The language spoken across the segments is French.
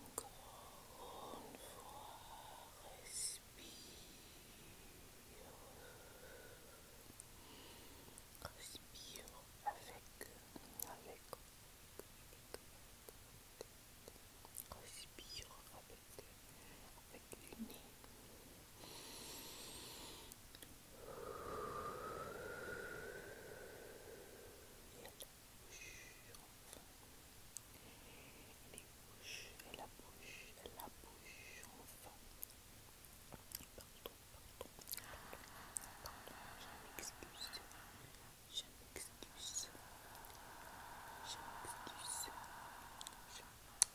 Encore une fois, respire. Respire avec, avec, respire avec, avec le nez. Et la bouche et les bouches, et la bouche, et la bouche, enfin. Pardon, pardon. Pardon, je m'excuse. Je m'excuse. Je m'excuse. Je m'excuse.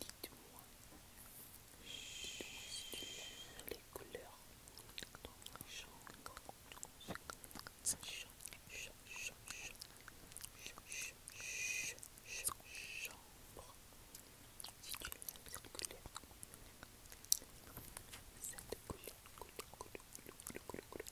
Dites-moi si tu aimes les couleurs dans ma chambre. Chambre. Si tu aimes cette couleur, cette couleur,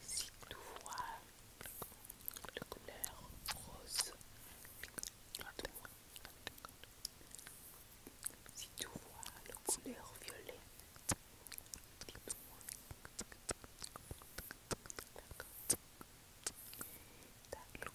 Si tu vois de couleur rose, toi. Si tu vois la couleur violet, dis-moi. D'accord.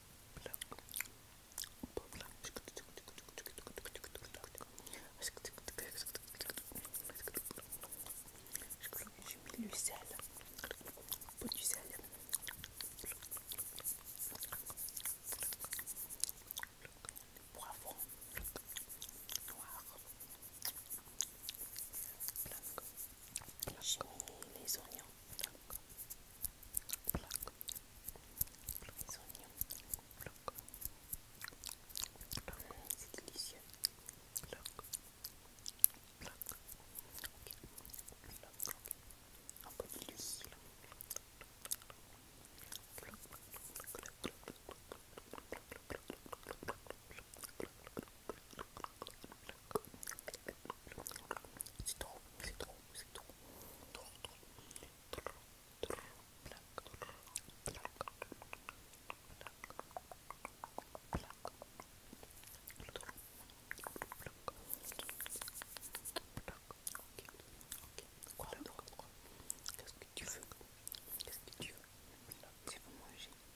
J'ai mis le sel, du Poivron noir. J'ai les oignons. Les oignons. C'est délicieux. Un peu c'est trop, c'est trop, c'est trop, trop, trop, trop, Qu'est-ce que tu veux Qu'est-ce que tu veux C'est pour manger.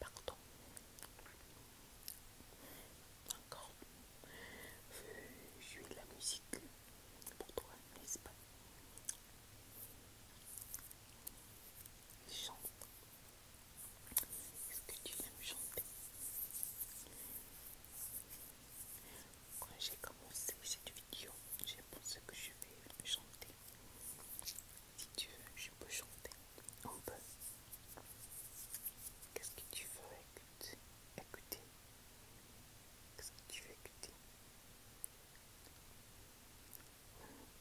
pardon, encore, je la musique pour toi, n'est-ce pas Chante. Est-ce que tu aimes chanter Quand j'ai commencé cette vidéo, j'ai pensé que je vais chanter. Si tu veux, je peux chanter. On peut. Qu'est-ce que tu veux écouter Écouter. Qu'est-ce que tu veux écouter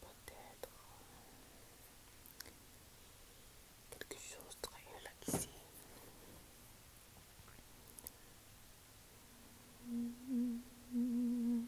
Peut-être euh, quelque chose de très hum...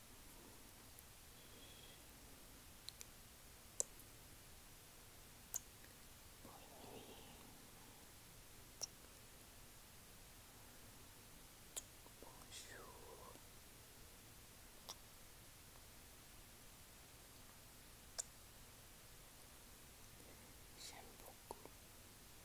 Bonne nuit. Bonjour. J'aime beaucoup.